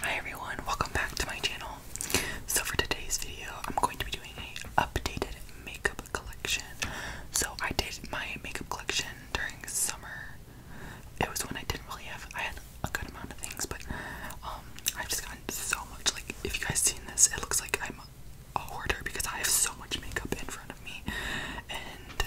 Hi everyone, welcome back to my channel. So for today's video, I'm going to be doing a updated makeup collection. So I did my makeup collection during summer. It was when I didn't really have I had a good amount of things, but um I've just gotten so much like if you guys seen this, it looks like I'm a hoarder because I have so much makeup in front of me and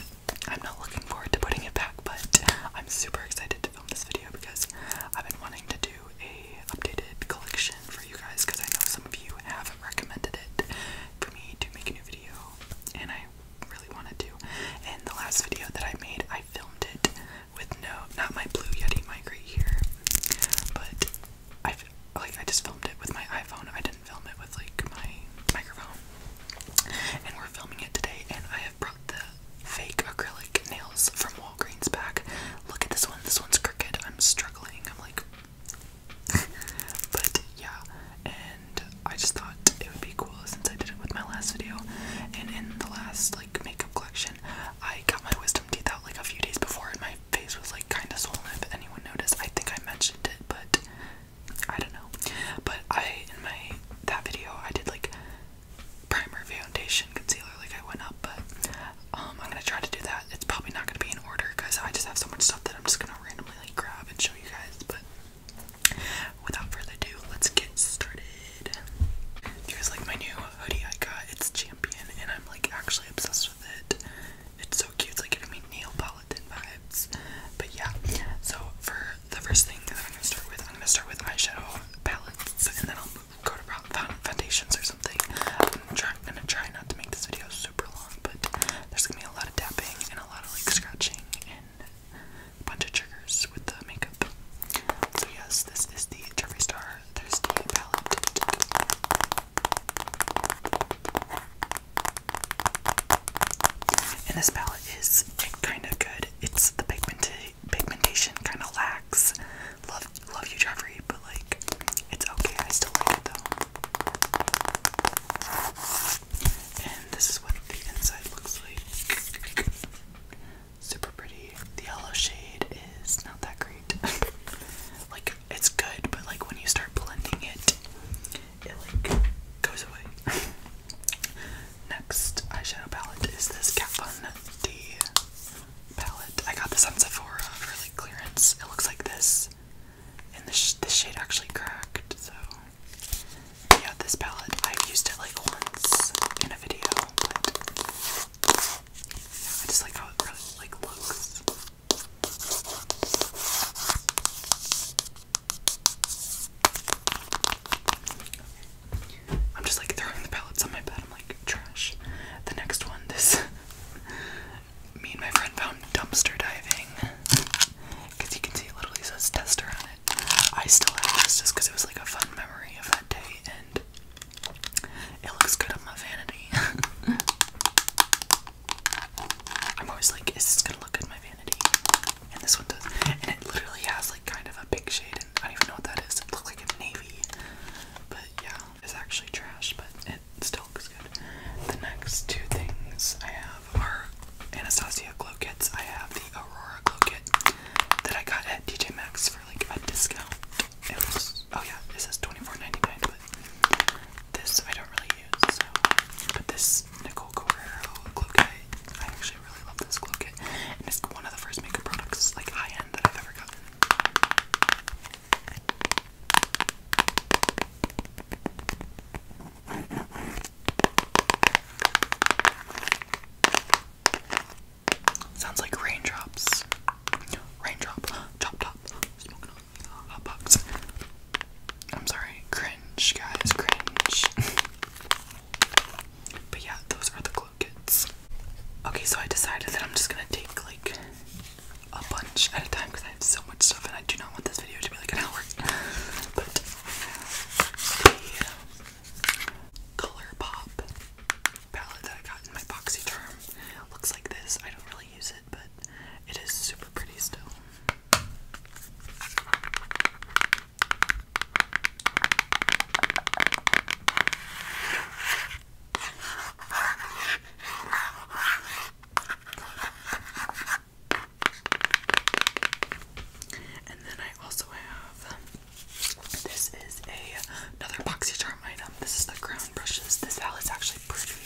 I'm not looking forward to putting it back, but I'm super excited to film this video because I've been wanting to do a updated collection for you guys because I know some of you have recommended it for me to make a new video, and I really wanted to. And the last video that I made, I filmed it with no, not my Blue Yeti mic right here, but I like I just filmed it with my iPhone. I didn't film it with like my microphone and we're filming it today. And I have brought the fake acrylic nails from Walgreens back. Look at this one. This one's crooked. I'm struggling. I'm like, but yeah. And I just thought it would be cool since I did it with my last video. And in the last like makeup collection, I got my wisdom teeth out like a few days before, and my face was like kind of swollen. But anyone noticed, I think I mentioned it, but I don't know. But I in my that video I did like primer, foundation, concealer, like I went up, but um I'm gonna try to do that. It's probably not gonna be in order because I just have so much stuff that I'm just gonna randomly like grab and show you guys, but without further ado, let's get started. Here's like my new hoodie I got. It's champion and I'm like actually obsessed with it. It's so cute, it's like giving me Neil vibes. But yeah, so for the first thing that I'm gonna start with, I'm gonna start with eyeshadow palettes, and then I'll go to foundations or something. I'm, gonna try not to make this video super long, but there's gonna be a lot of tapping and a lot of like scratching and a bunch of triggers with the makeup. So yes, this is the Jeffree Star Thirsty palette. And this palette is kind of good. It's the pigment pigmentation kind of lacks. Love, love you, Jeffrey, but like, it's okay. I still like it though. And this is what the inside looks like. Super pretty. The yellow shade is not that great. like, it's good, but like when you start blending it, it like goes away. Next eyeshadow palette is this Kat Von D palette. I got this on Sephora for like clearance. It looks like this, and the this shade actually cracked. So yeah, this palette I've used it like once in a video, I just like how it really like looks. I'm just like throwing the pellets on my bed. I'm like, trash. The next one, this. Me and my friend found dumpster diving. Because you can see it literally says tester on it. I still have this just because it was like a fun memory of that day and it looks good on my vanity. I'm always like, is this gonna look good on my vanity? and this one does. And it literally has like kind of a big shade, and I don't even know what that is. It looks like a navy, but yeah, it's actually trash, but it still looks good. The next two things I have are Anastasia glow kits. I have the Aurora glow kit that I got at DJ Maxx for like a discount. It was oh yeah, it says twenty four ninety nine, but this I don't really use. but this Nicole Guerrero Glow Kit. I actually really love this Glow Kit, and it's one of the first makeup products, like high end, that I've ever gotten. Sounds like raindrops. Raindrop, chop top, I'm sorry, cringe, guys, cringe. But yeah, those are the glow kits. Okay, so I decided that I'm just gonna take like a bunch at a time because I have so much stuff and I do not want this video to be like an hour. But the Color palette that I got in my boxy charm looks like this. I don't really use it, but it is super pretty still. And then I also have this is a another boxy item. This is the crown brushes. This owl is actually pretty.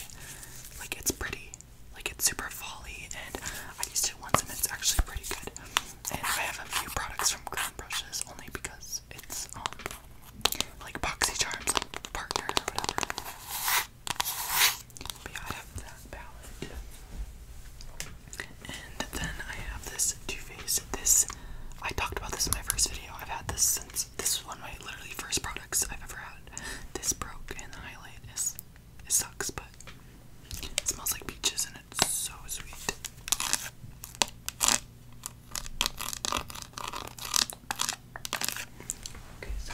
Like it's pretty. Like it's super folly and I used it once and it's actually pretty good and I have a few products from Crown Brushes only because it's um like Boxy Charms like partner or whatever. But I have that palette. And then I have this Too Faced. This I talked about this in my first video. I've had this since this is one of my literally first products I've ever had. This broke and the highlight is it sucks, but it smells like peaches in and it's so sweet. Okay, so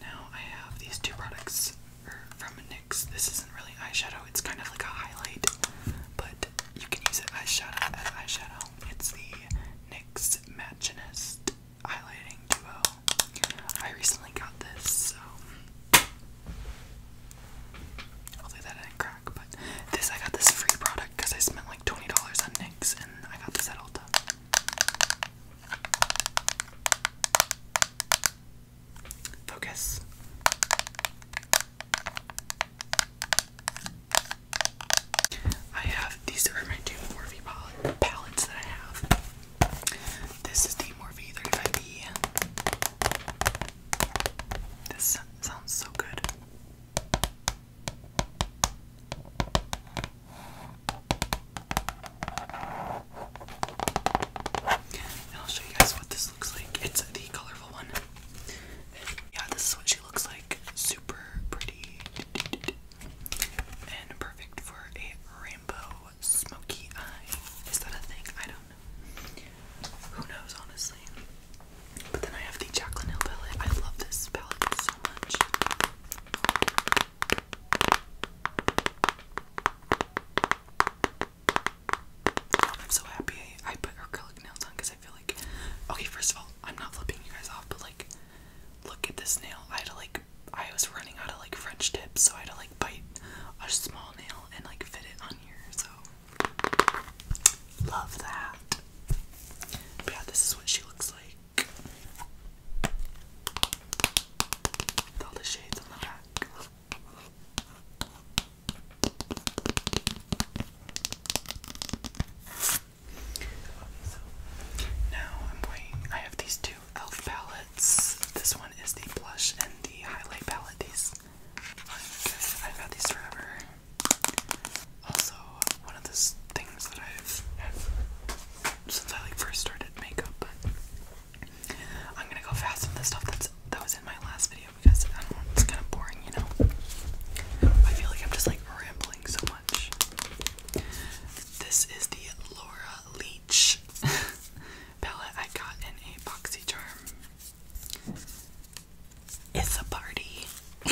now I have these two products er, from NYX. This isn't really eyeshadow, it's kind of like a highlight, but you can use it as eyeshadow. As eyeshadow. It's the NYX Matchinist Highlighting Duo. I recently got this, so Hopefully that did crack, but this I got this free product because I spent like $20 on NYX and I got this at Ulta. Focus. I have these are my two Morphe palettes that I have. This is the Morphe 35 B. This sounds so good. I'll show you guys what this looks like. It's the colorful one. Yeah, this is what she looks like. Super pretty and perfect for a rainbow smoky eye. Is that a thing? I don't who knows, honestly. But then I have the Jacqueline Hill palette. I love this palette so much. I'm so happy I, put acrylic nails on because I feel like, okay, first of all, I'm not flipping you guys off, but like, look at this nail. I had to like, I was running out of like French tips, so I had to like bite a small nail and like fit it on here. So love that. yeah, this is what she looks like. all the shades on the back. so now I'm going. I have these two e.l.f. palettes. This one is the blush and the highlight palette. I've had these forever. Also, one of the things that I've had since I like first started makeup, but I'm gonna go fast on the stuff that's that was in my last video because I don't know, it's kind of boring, you know. I feel like I'm just like rambling so much. This is the Laura Leach palette I got in a boxy charm it's a party.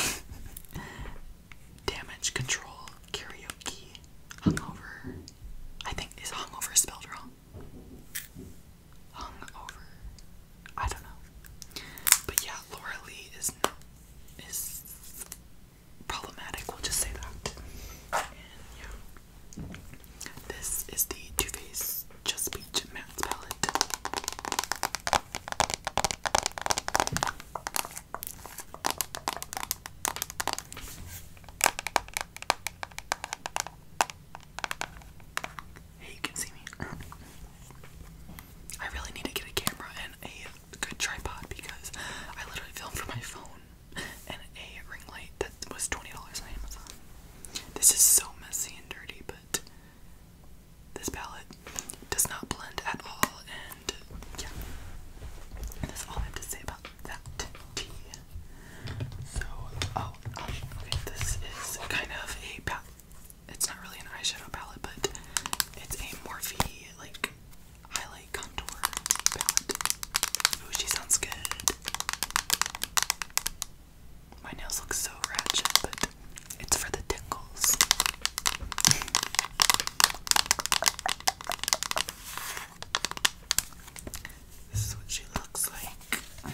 Damage control karaoke. Hungover. I think is hungover spelled wrong. Hungover. I don't know. But yeah, Laura Lee is is problematic. We'll just say that. yeah. This is the Too Faced Just Peach Matte Palette. Hey, you can see me. I really need to get a camera and a good tripod because I literally film from my phone and a ring light that was $20 on Amazon. This is so messy and dirty, but this palette does not blend at all, and yeah, that's all I have to say about that tea. So, oh, um, okay, this is kind of a palette. It's not really an eyeshadow palette, but it's a Morphe like highlight contour palette. Ooh, she sounds good. My nails look so ratchet, but it's for the tingles. This is what she looks like.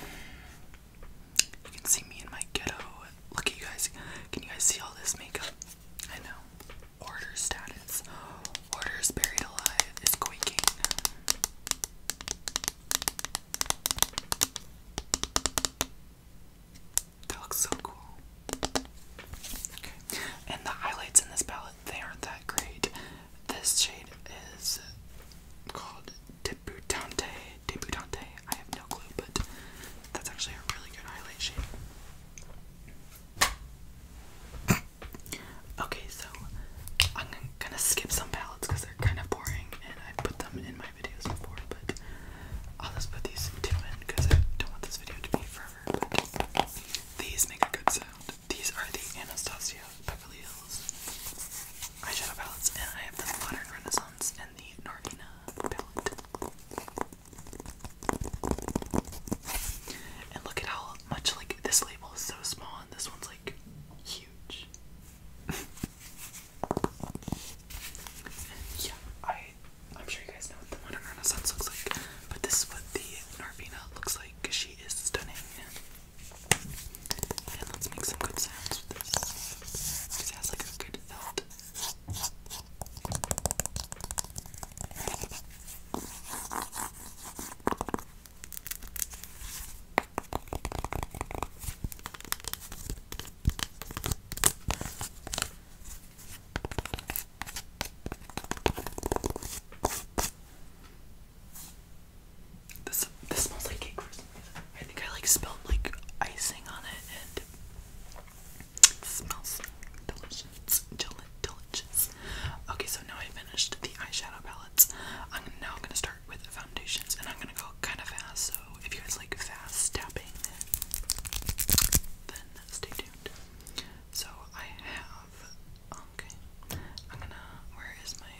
You can see me in my ghetto. Look at you guys. Can you guys see all this makeup? I know. Order status. Orders buried alive is quaking. That looks so cool. Okay, and the highlights in this palette, they aren't that great. This shade is called Debutante. Debutante, I have no clue, but that's actually a really good highlight shade. Okay, so so I'm gonna skip some palettes because they're kind of boring and I've put them in my videos before, but I'll just put these two in because I don't want this video to be forever. But these make a good sound. These are the Anastasia Beverly Hills eyeshadow palettes, and I have the Modern Renaissance and the Nargina palette. And look at how much like this label is so small and this one's like huge. Yeah, I I'm sure you guys know what the modern Renaissance looks like, but this is what the Narvina looks like. She is stunning. And let's make some good sounds with this. Because has like a good felt. This this smells like cake I think I like spelt like icing on it, and it smells delicious, delicious. Okay, so now I finished the eyeshadow palettes. I'm now gonna start with the foundations, and I'm gonna go kind of fast, so if you guys like fast tapping, then stay tuned. So I have, okay, I'm gonna, where is my,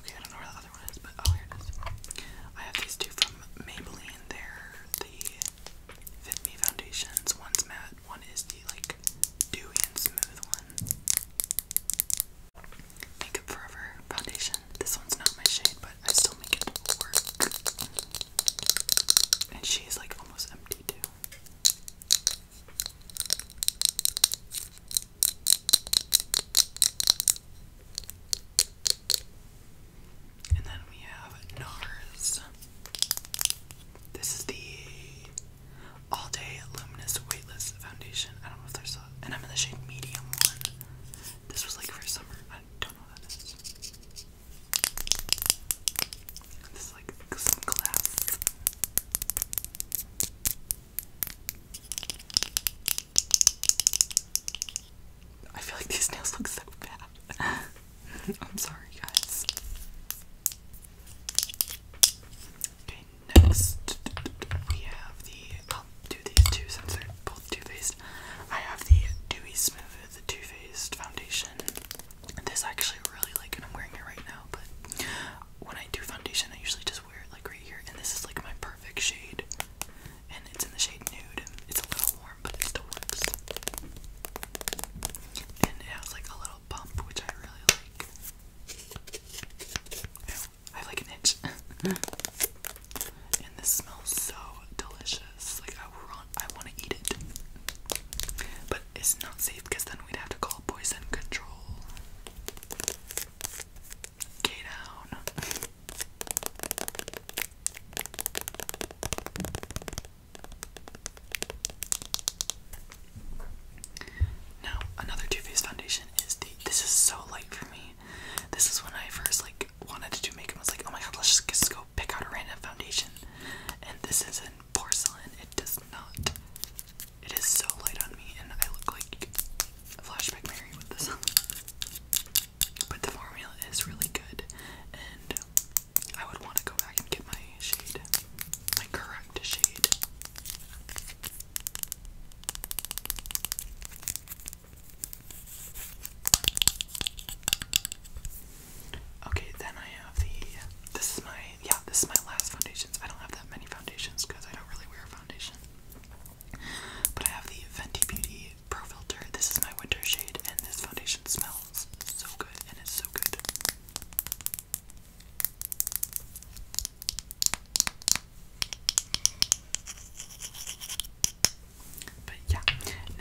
okay, I don't know where the other one is, but oh, here it is. I have these two from Maybelline, they're the Fit Me foundations, one's matte, one is the, like, dewy and smooth one. Makeup Forever foundation. This one's not my shade, but I still make it work. And she's like almost empty too. And then we have NARS. This is the All Day Luminous Weightless Foundation. I don't know if there's and I'm in the shade medium one. This was like for summer. I don't know what that is. And this is like glass. I feel like these nails look so bad. I'm sorry, guys. Okay, Next, we have the. I'll do these two since they're both Too Faced. I have the Dewy Smooth Too Faced Foundation. This actually really like, and I'm wearing it right now. But when I do foundation, I usually just wear it like right here, and this is like my perfect shade. And it's in the shade Nude. It's a little warm, but it still works. And it has like a little bump, which I really like. I have like an itch. and this smells so delicious. Like I want, I want to eat it. But it's not safe because then we'd have to call poison control. Get down. Now, another Too Faced foundation is the. This is so light for me. This is when I first like wanted to do makeup. I was like, oh my god, let's just, go pick out a random foundation. And this is in porcelain. It does not. It is so light on me, and I look like a flashback Mary with this on. But the formula is really good, and I would want to go back and get my shade, my correct shade. Okay, then I have the. This is my. Yeah, this is my last foundation. I don't have that many foundations because I don't really wear a foundation. But I have the Venti Beauty Pro Filter. This is my winter shade, and this foundation smells so good and it's so good. But yeah,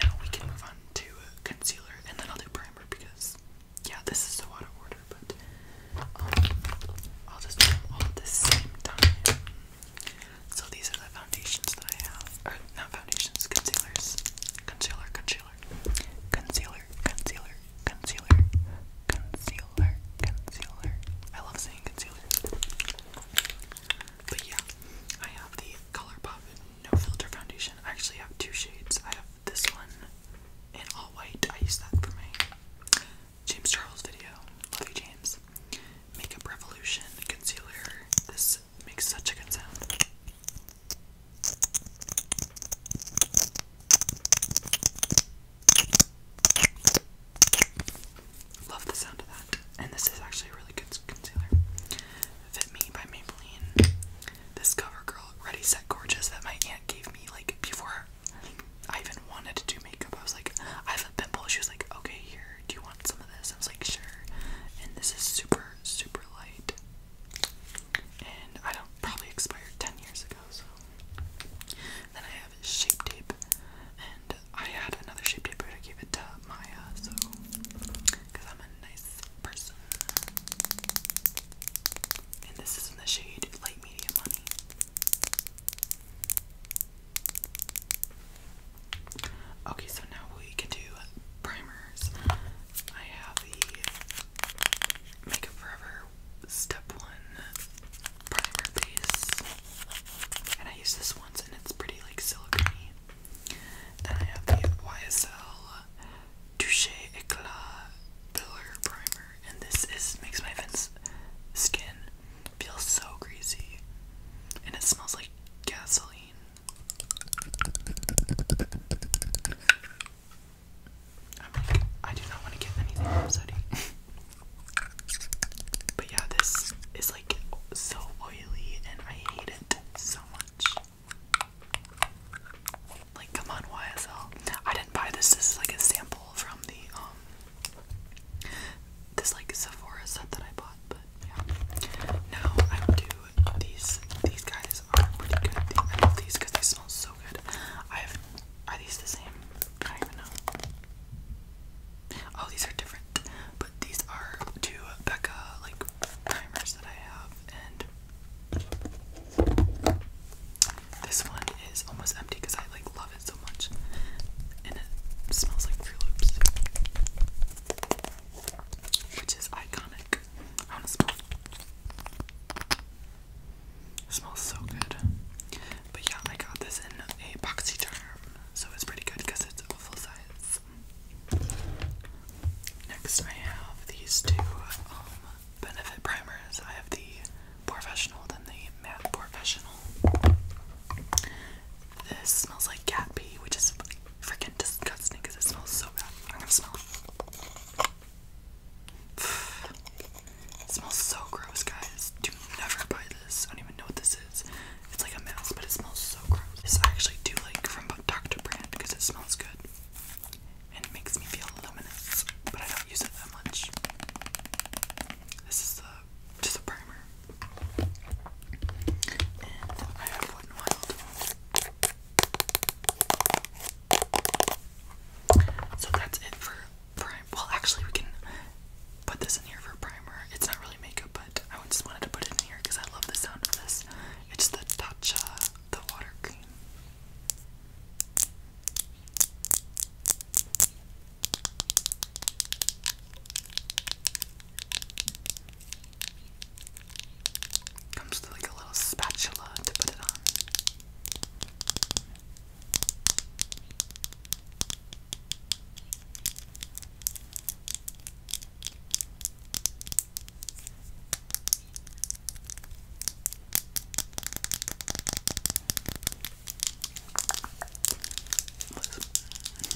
now we can move on to concealer and then I'll do primer because, yeah, this is so order, but um, I'll just do them all at the same time. So these are the foundations that I have. Or, not foundations, concealers. Concealer, concealer. Concealer, concealer, concealer, concealer, Concealer, concealer. I love saying concealer. But yeah, I have the ColourPop No Filter Foundation. I actually have two shades. I have this one in all white. I use that for me. James Charles video. Love you, James. Makeup Revolution Concealer. This makes such a good sound. Love the sound of that. And this is actually a really good concealer. Fit Me by Maybelline. This CoverGirl Ready Set Gorgeous that my aunt gave me like before I even wanted to do makeup. I was like, I have a pimple. She was like, okay, here, do you want some of this? I was like, sure. And this is super, super light. And I don't probably expired 10 years ago, so. Then I have shape tape and I had another shape paper to give it to Maya, so because I'm a nice person. And this is in the shade light medium money. Okay, so now we can do primers. I have the Makeup Forever Step 1 primer base. And I use this once and it's pretty like silicone Then I have the YSL Touche Eclat Pillar Primer. And this is makes my Vince skin feel so greasy. And it smells like gasoline. i do not want to get anything from Sodi. But yeah, this is like so oily and I hate it so much. Like, come on, YSL. I didn't buy this. This is like a sample from the, um, this like Sephora set that I bought, but yeah. Now I will do these. These guys are pretty good. I love these because they smell so good. I have, are these the same? Oh, these are different, but these are two Becca like primers that I have, and this one is almost empty because I like love it so much, and it smells like Fruit Loops, which is iconic. I want to smell. smells so good. But yeah, I got this in a boxy so it's pretty good because it's a full size. Next, I have these two um, benefit primers. I have the professional, then the matte professional. This smells like cat pee, which is freaking disgusting because it smells so bad. I'm gonna smell it. smells so gross, guys. Do never buy this. I don't even know what this is. It's like a mouse, but it smells so gross. This I actually do like from Dr. Brand because it smells good and it makes me feel luminous, but I don't use it that much. This is the just a primer, So that's it for prime. Well, actually, we can put this in here for primer. It's not really makeup, but I just wanted to put it in here because I love the sound of this. It's the Tatcha, the water cream. Comes with like a little spatula to put it on.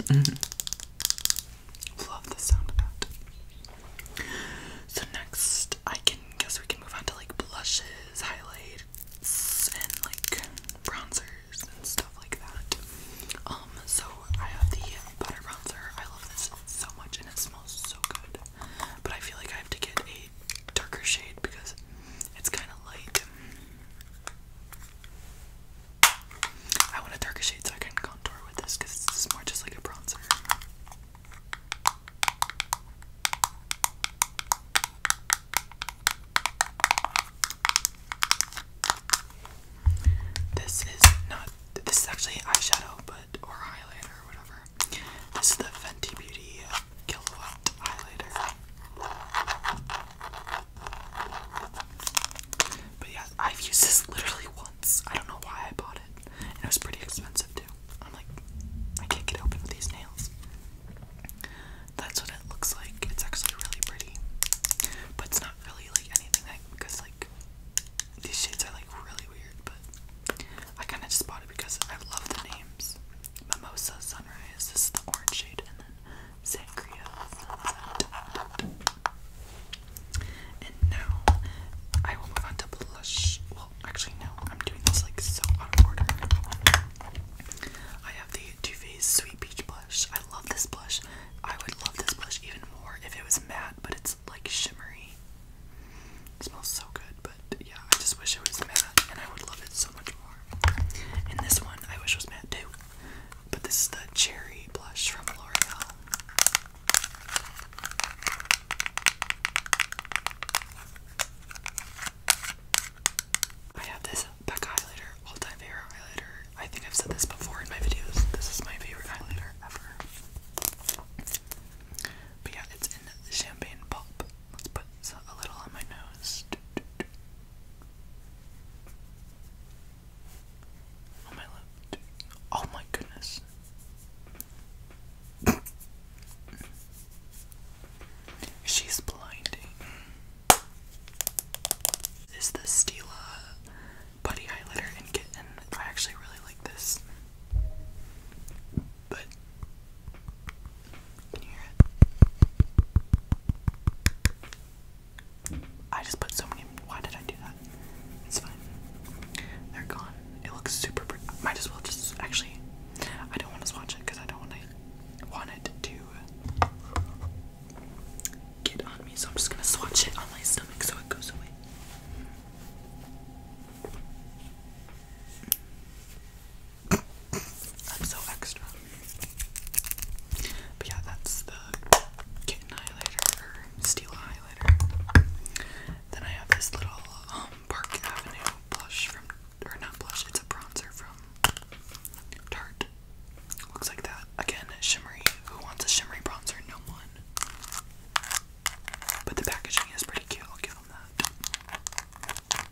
Love the sound of that. So next, I can guess we can move on to like blushes, highlights, and like bronzer and stuff like that. Um, so I have the butter bronzer. I love this so much and it smells so good. But I feel like I have to get a darker shade because it's kind of light. I want a darker shade so I can contour with this because this is more just like a bronzer. This is not this is actually eyeshadow but or highlighter or whatever. This is the Fenty Beauty Kilowatt highlighter. But yeah, I've used this literally once. I don't know why I bought it. it was pretty expensive too. I'm like, I can't get open with these nails that's what it looks like. It's actually really pretty, but it's not really like anything that because like these shades are like really weird. But I kind of just bought it because I love the names. Mimosa Sunrise. This is the orange shade, and then Sangria And now I will move on to blush. Well, actually, no. I'm doing this like so out of order. I have the Too Faced Sweet Peach Blush. I love this blush. I would love this blush even more if it was matte, but it's like shimmery. It smells so good, but yeah, I just wish it was matte, and I would love it so much more. And this one I wish was matte too, but this is the cherry blush from L'Oreal. I have this Becca highlighter, all-time favorite highlighter. I think I've said this before in my videos. This is my favorite highlighter ever. But yeah, it's in champagne pulp. Let's put a little on my nose. On my lip. Oh my goodness. She's blinding is the Stila Buddy Highlighter in and I actually really like this. But, can you hear it? I just put so many, why did I do that? It's fine. They're gone. It looks super pretty. Might as well just, actually, I don't want to swatch it because I don't want to want it to get on me, so I'm just gonna swatch it on my stomach so it goes away. I'm so extra. But yeah, that's the kitten highlighter or highlighter. Then I have this little um, Park Avenue blush from or not blush, it's a bronzer from Tarte. Looks like that. Again, shimmery. Who wants a shimmery bronzer? No one. But the packaging is pretty cute. I'll give them that.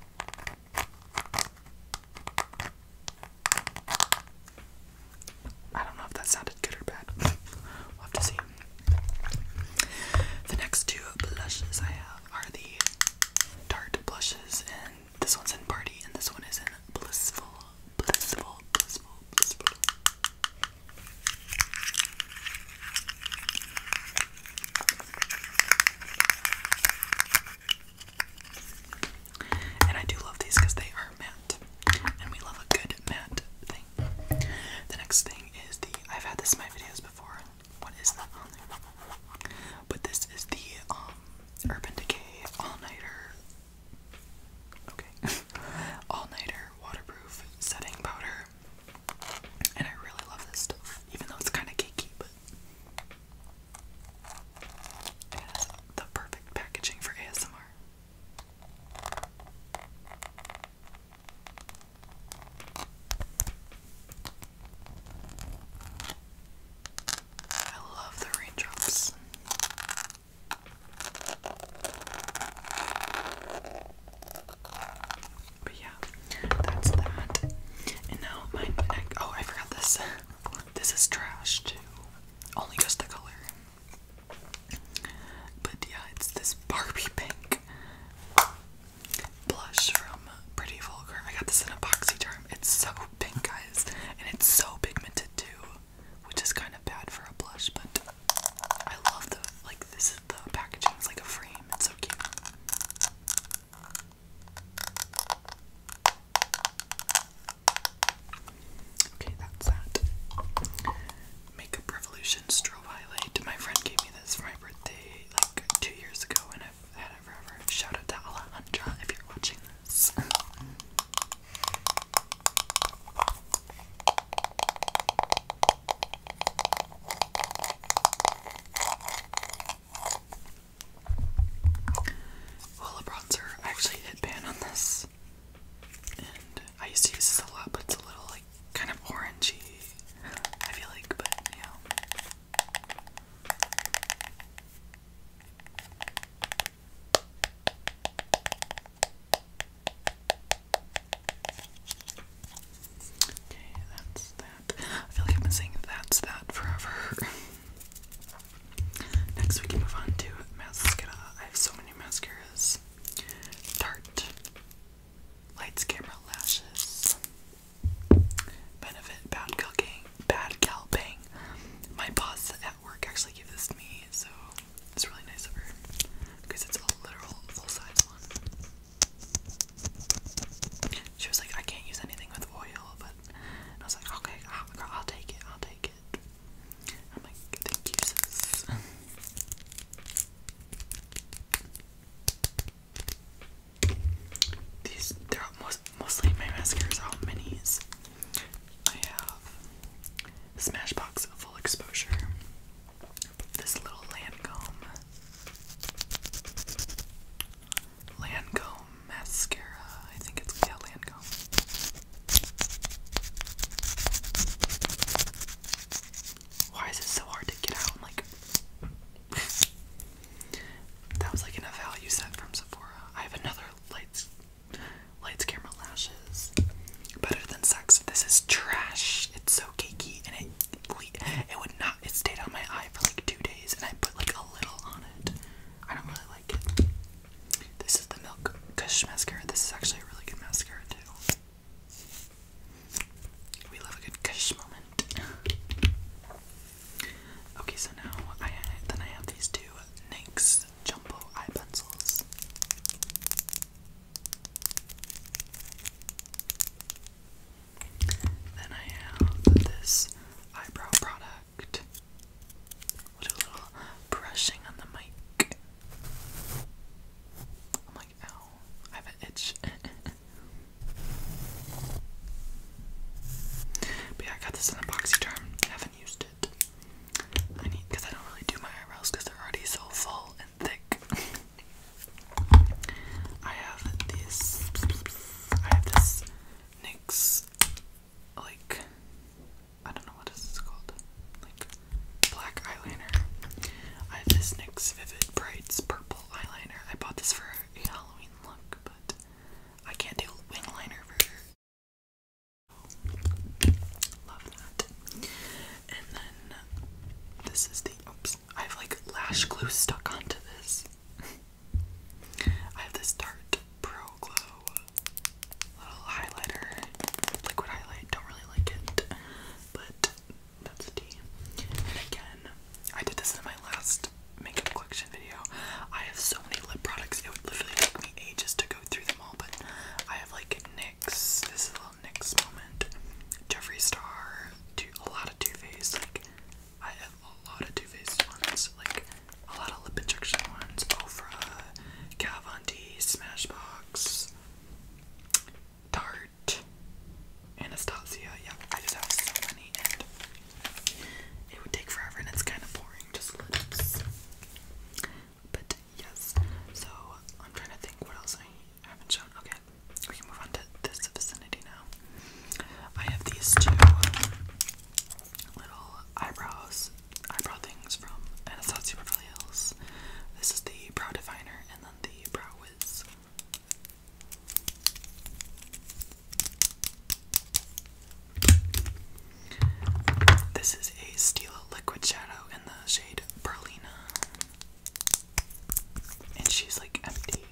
I don't know if that sounded good or bad. have to see. The next two blushes I have are the Tarte blushes in this one's in party and this one is in blissful, blissful, blissful, blissful. And I do love these because they are matte. And we love a good matte thing. The next thing is the I've had this in my videos before. What is that on there? But this is the um Urban Decay All Nighter Okay. All Nighter Waterproof Setting Powder. And I really love this stuff, even though it's kind of cakey, but it the perfect packaging for ASMR. I love the raindrops. But yeah, that's that. And now my Oh, I forgot this. This is trash too. Only just the color. But yeah, it's this Barbie pink blush from Pretty Vulgar. I got this in a boxy charm. It's so pink, guys, and it's so pigmented too which is kind of bad for a blush, but I love the like this the packaging. It's like a frame. It's so cute. Okay, that's that. Makeup Revolution strobe highlight. My friend gave me this for my birthday like two years ago, and I've had it forever. Shout out to Alejandra if you're watching well, a bronzer, I actually hit pan on this, and I used to use this a lot, but it's a little like kind of orangey. I feel like, but yeah. Okay, that's that. I feel like I've been saying that's that forever. Next we can move on to mascara. I have so many mascaras. Tarte. Lights, camera, lashes. Benefit, bad calcing, bad calping. My boss at work actually gave this to me me, so it's really nice of her because it's a literal full size one. She was like, I can't use anything with oil, but I was like, okay, I'll, take it, I'll take it. I'm like, thank you, sis. These, they're mostly my mascaras are all minis. I have Smashbox Full Exposure, this little Lancome, Lancome mascara. I think it's yeah, Lancome. Why is it so hard to get out? i like. that was like in a value set from Sephora. I have another light Lights, camera, lashes. Better than sex. This is trash. It's so cakey, and it it would not. It stayed on my eye for like two days, and I put like a little on it. I don't really like it. This is the Milk Kush mascara. This is actually a really good mascara too. We love a good Kush moment. Okay, so now then I have these two NYX jumbo eye pencils. Then I have this eyebrow product. do a little brushing on the mic. I'm like, ow, I have an itch. but yeah, I got this in a term. haven't used I need because I don't really do my eyebrows because they're already so full and thick. I have this. I have this NYX like I don't know what this is called. Like black eyeliner. I have this NYX Vivid Brights purple eyeliner. I bought this for a Halloween look, but I can't do wing liner Love that. And then this is the oops. I have like lash glue stuck onto this. I have this Tarte Pro Glow little highlighter, liquid highlight. Don't really like it, but that's a D. And again, I did this in my last makeup collection video. I have so many lip products. It would literally take me ages to go through them all but I have like NYX. This is a little NYX moment. Jeffree Star, too, a lot of Too Faced. Like, I have a lot of Too Faced ones. Like, a lot of lip injection ones. Ofra, Kat Smashbox, Tarte, Anastasia. Yeah, I just have so many, and it would take forever, and it's kind of boring. Just lips. But yes, so I'm trying to think what else I haven't shown. Okay, we can move on to this vicinity now. I have these two little eyebrows, eyebrow things from Anastasia Beverly Hills. This is the Brow Definer and then the Brow Wiz. This is a Stila Liquid Shadow in the shade Berlina. And she's like empty.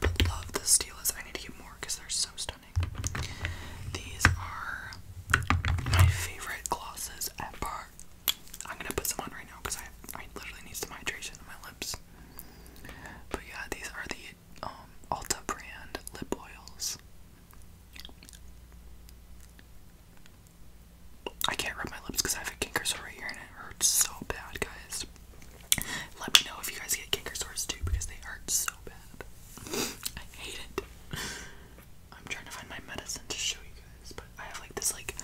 But love the Stilas. I need to get more because they're so stunning. These are my favorite glosses ever. I'm gonna put some on right now because I I literally need some hydration in my lips. But yeah, these are the um, Alta brand lip oils. I can't rub my lips because I have a kinker sore here and it hurts so bad, guys. Let me know if you guys get kinker sores too because they hurt so bad. I hate it. I'm trying to find my medicine to show you guys, but I have like this like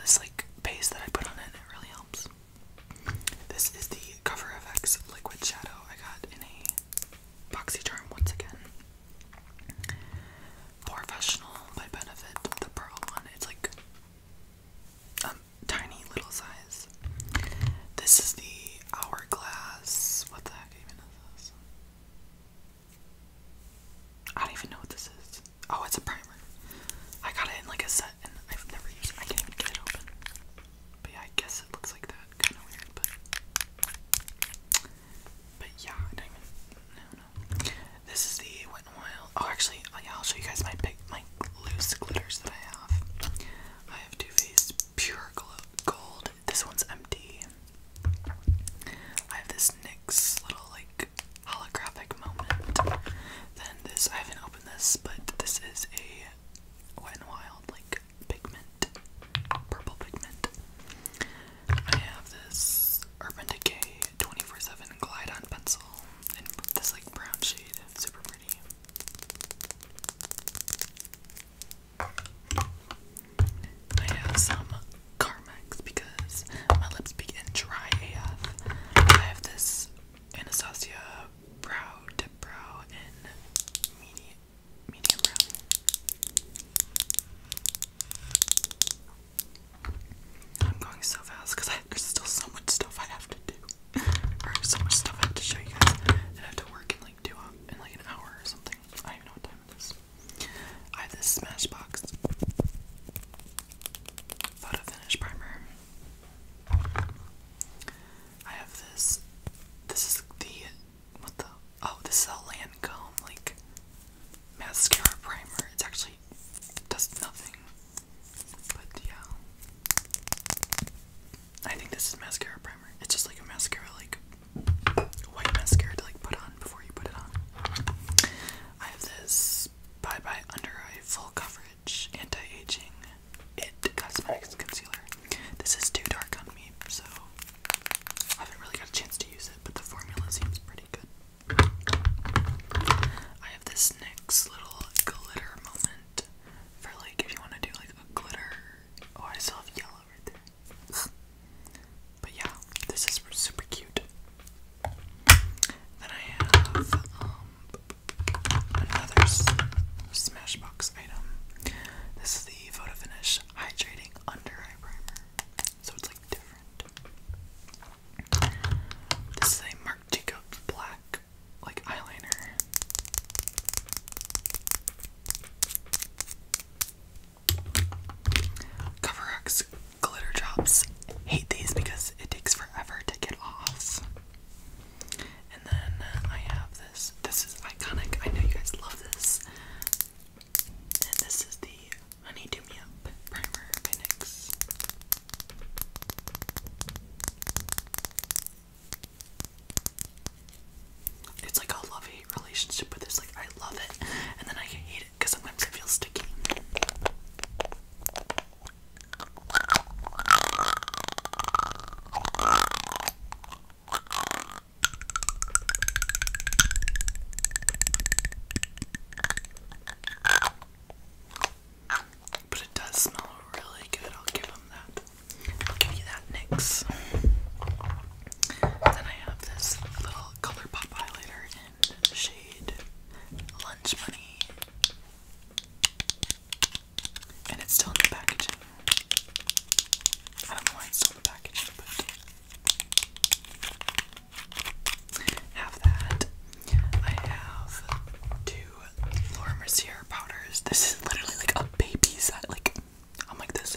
this like paste that I put on it and it really helps. This is the Cover FX Liquid Shadow I got in a boxy charm once again. Professional by Benefit, the pearl one. It's like a tiny little size. This is the Hourglass. What the heck even is this? I don't even know what this is. Oh, it's a primer. I got it in like a set and I've never used I can't even get it open. But yeah, I guess it looks like that. Kind of weird, but. But yeah, I don't even. This is the Wet n Wild. Oh, actually, oh, yeah, I'll show you guys my pick, my loose glitters that I have. I have Too Faced Pure Gold. This one's empty. I have this NYX little, like, holographic moment. Then this, I haven't opened this, but this is a Wet n Wild, like, pigment, purple pigment. I have this Urban Decay 24/7 Glide On pencil in this like brown shade, super pretty. I have some Carmex because my lips begin dry AF. I have this Anastasia brow to brow and medium, medium brow. I'm going so fast because there's still so much stuff I have to do, or so much stuff I have to show you guys, and I have to work in like two hours, uh, in like an hour or something. I don't know what time it is. I have this Smashbox photo finish primer. I have this. This is the what the oh this is a Lancome like mascara primer. It's actually does nothing, but yeah. I think this is mascara primer. It's just like a mascara, like white mascara to like put on before you put it on. I have this Bye Bye Under Eye Full Coverage Anti Aging it Cosmetics Concealer. This is too dark on me, so I haven't really got a chance to use it, but the formula seems pretty good. I have this NYX little glitter moment for like if you want to do like a glitter. Oh, I still yellow right there. but yeah, this is super cute. Then I have um, another Smashbox next This is the Photo Finish Hydrating Under Eye Primer. So it's like different. This is a Marc Jacobs black like eyeliner. CoverX glitter drops. Hate these because it takes forever to get off. And then uh, I have this. This is iconic. I know you guys love this. And this is the Honey Primer by It's like a love-hate relationship with this. Like, I love it, and then I hate it because sometimes it feels sticky. But it does smell really good, I'll give him that. I'll give you that NYX. Then I have this little color highlighter in shade Lunch Money. And it's still in the package. I don't know why it's still in the packaging, but have that. I have two Laura Mercier powders. This is literally like a baby size. Like I'm like this.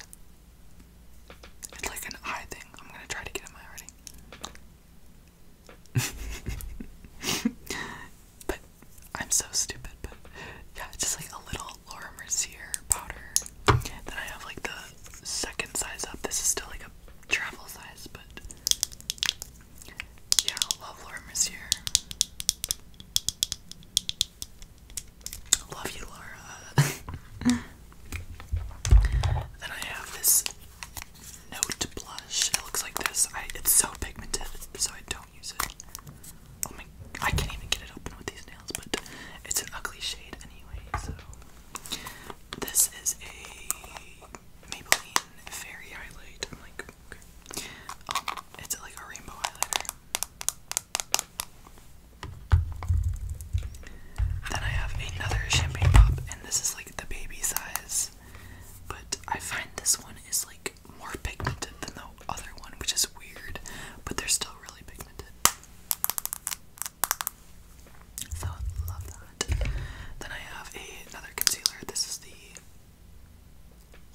It's like an eye thing. I'm gonna try to get in my already. But I'm so stupid, but yeah, it's just like a little Laura Mercier powder. Then I have like the second size up. This is still like a travel size, but yeah, I love Laura Mercier. Love you, Laura. then I have this note blush. It looks like this. I, it's so pigmented, so I don't Oh I can't even get it open with these nails, but it's an ugly shade anyway, so. This is a Maybelline Fairy Highlight. I'm like, okay. Um, it's like a rainbow highlighter. Then I have another champagne pop, and this is like the baby size. But I find this one is like more pigmented than the other one, which is weird, but they're still really pigmented. So love that. Then I have another concealer. This is the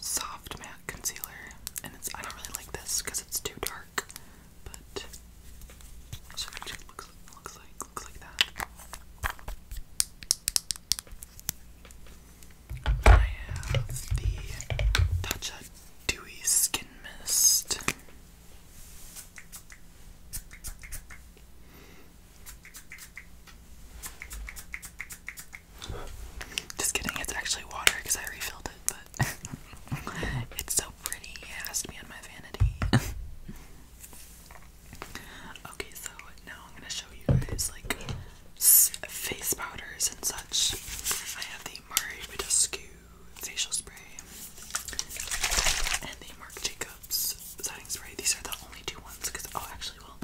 soft matte concealer, and it's I don't really like this because it's too dark, but so it looks looks like looks like that. I have the Tatcha Dewy Skin Mist. Just kidding, it's actually water because I refilled it, but it's so pretty, it has to be on my vanity. okay, so now I'm gonna show you guys like face powders and such. I have the Mari Badescu facial spray and the Marc Jacobs setting spray. These are the only two ones because oh, actually, well,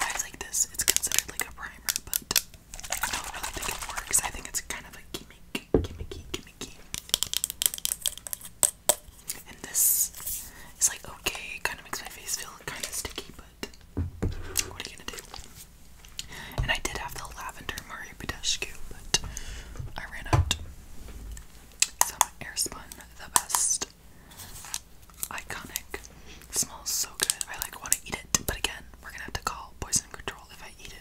I like this. It's considered like a primer, but I don't really think it works. I think it's kind of a gimmick, gimmicky, gimmicky. And this is like okay, it kind of makes my face feel kind of sticky, but what are you gonna do? And I did have the lavender Mario Badescu, but I ran out. Some airspun, the best. Iconic. Smells so good. I like want to eat it, but again, we're gonna have to call poison control if I eat it.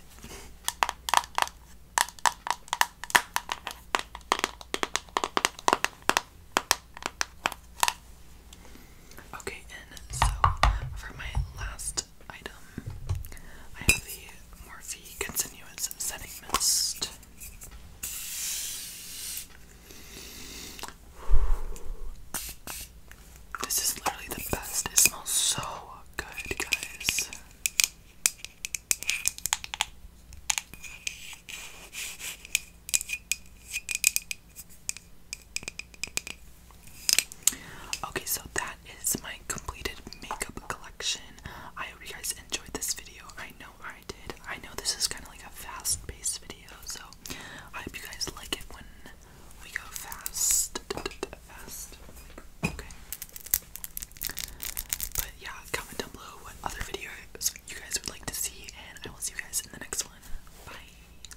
Okay, and so for my last item, I have the Morphe Continuous Setting Mist. This is literally the best. It smells so good, guys. Okay, so that is my completed makeup collection. I hope you guys enjoyed this video. I know I did. I know this is kind of like a fast paced video, so I hope you guys like it when we go fast. Fast. Okay. But yeah, comment down below what other videos you guys would like to see, and I will see you guys in the next one. Bye.